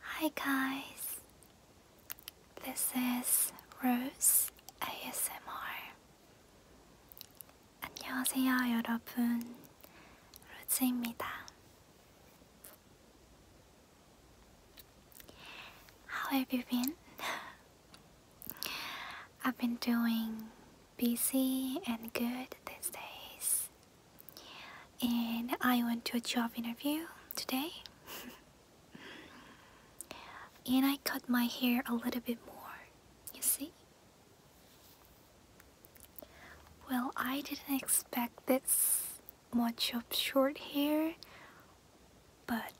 Hi guys, this is Rose ASMR. 안녕하세요 여러분, 로즈입니다. How have you been? I've been doing busy and good these days. And I went to a job interview today. and I cut my hair a little bit more, you see? Well, I didn't expect this much of short hair, but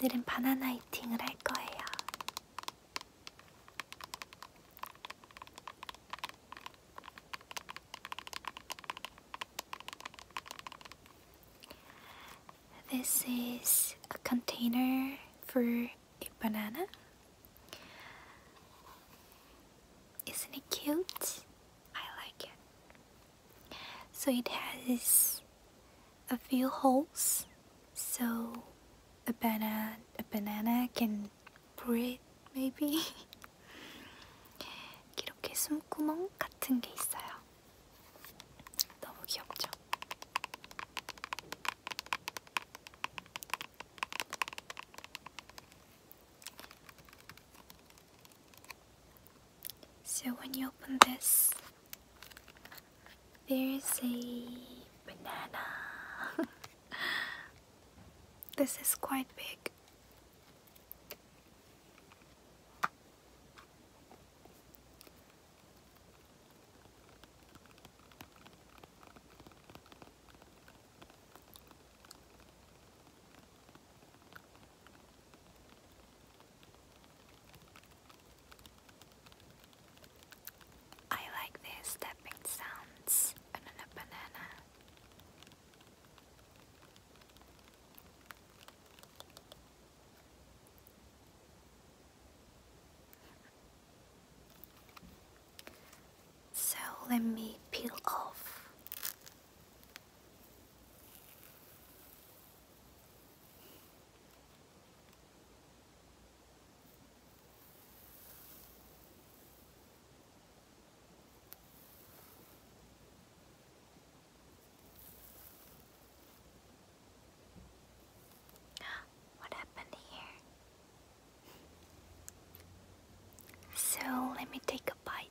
오늘은 바나나 이팅을 할 거예요. This is a container for a banana. Isn't it cute? I like it so it has a few holes so a banana a banana can breathe maybe 이렇게 숨구멍 같은 게 있어요. 너무 귀엽죠? So when you open this, there is a banana. this is quite big. I like the stepping sounds on banana. So let me peel off what happened here? So let me take a bite.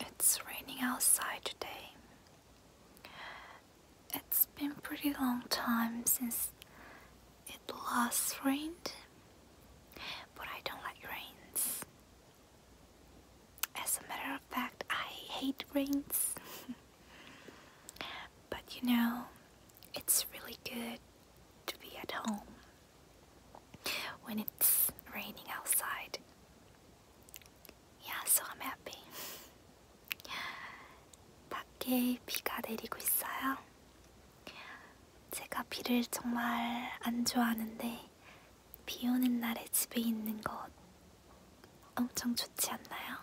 It's raining outside today. It's been pretty long time since it last rained, but I don't like rains. As a matter of fact, I hate rains. but you know, it's really good to be at home when it's raining outside. Yeah, so I'm happy. 밖에 비가 내리고 있어요. 제가 비를 정말 안 좋아하는데 비 오는 날에 집에 있는 것 엄청 좋지 않나요?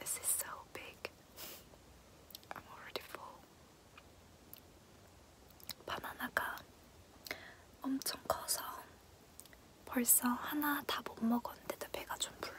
This is so big. I'm already full. バナナが 엄청 커서 벌써 하나 다 못 먹었는데도 배가 좀 불러요.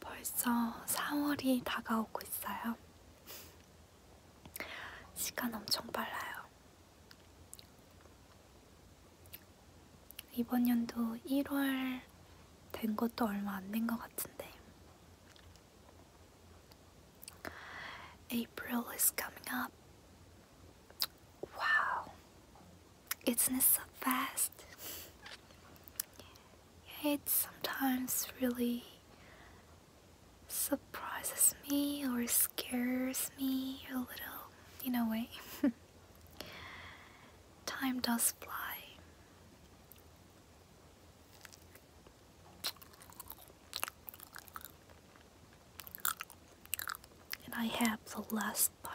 벌써 4월이 다가오고 있어요. 시간 엄청 빨라요. 이번 연도 1월 된 것도 얼마 안 된 것 같은데. April is coming up. Wow, it's not so fast. It sometimes really surprises me or scares me a little, in a way. Time does fly. And I have the last bite.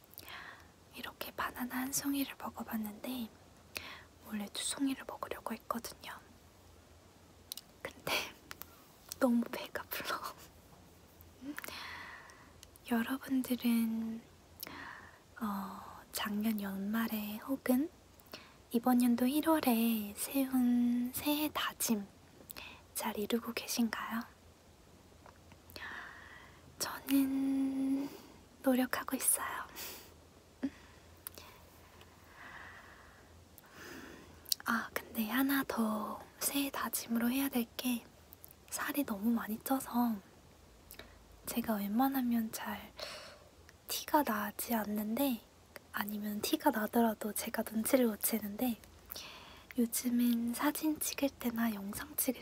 이렇게 바나나 한 송이를 먹어봤는데 원래 두 송이를 먹으려고 했거든요. 근데 너무 배가 불러. 여러분들은 어, 작년 연말에 혹은 이번 연도 1월에 세운 새해 다짐 잘 이루고 계신가요? 저는 노력하고 있어요. 아, 근데 하나 더 새해 다짐으로 해야 될 게 살이 너무 많이 쪄서 제가 웬만하면 잘 티가 나지 않는데 아니면 티가 나더라도 제가 눈치를 못 채는데 요즘엔 사진 찍을 때나 영상 찍을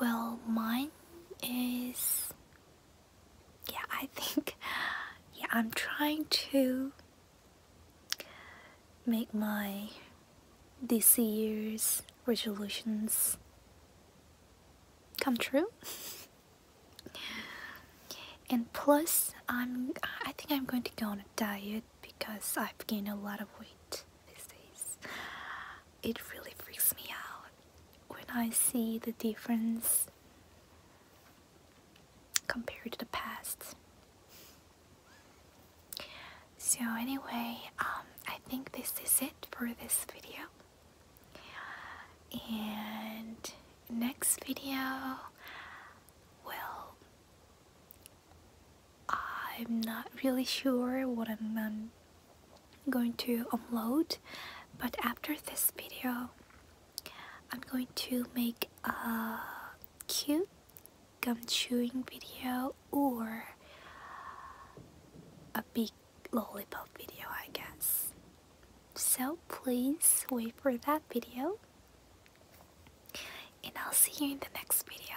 Well, mine is. Yeah, I think. Yeah, I'm trying to make my this year's resolutions come true. and plus, I'm. I think I'm going to go on a diet because I've gained a lot of weight these days it really freaks me out when I see the difference compared to the past. So anyway, um, I think this is it for this video. And next video will I'm not really sure what I'm um, going to upload but after this video I'm going to make a cute gum chewing video or a big lollipop video I guess so please wait for that video and I'll see you in the next video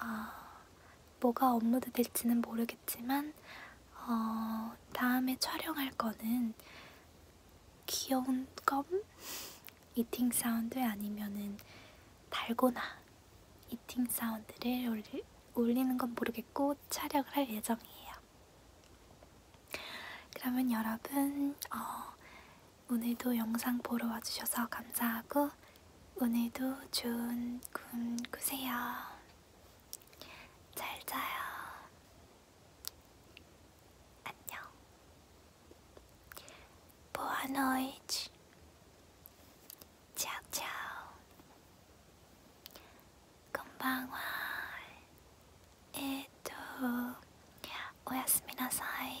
어, 뭐가 업로드 될지는 모르겠지만 어, 다음에 촬영할 거는 귀여운 껌? 이팅 사운드 아니면은 달고나 이팅 사운드를 올리, 올리는 건 모르겠고 촬영을 할 예정이에요. 그러면 여러분 어, 오늘도 영상 보러 와주셔서 감사하고 오늘도 좋은 꿈 꾸세요. 잘 자요. 안녕. Boa noite. Tchau, tchau. 건방와. 에또, 오야스미나사이.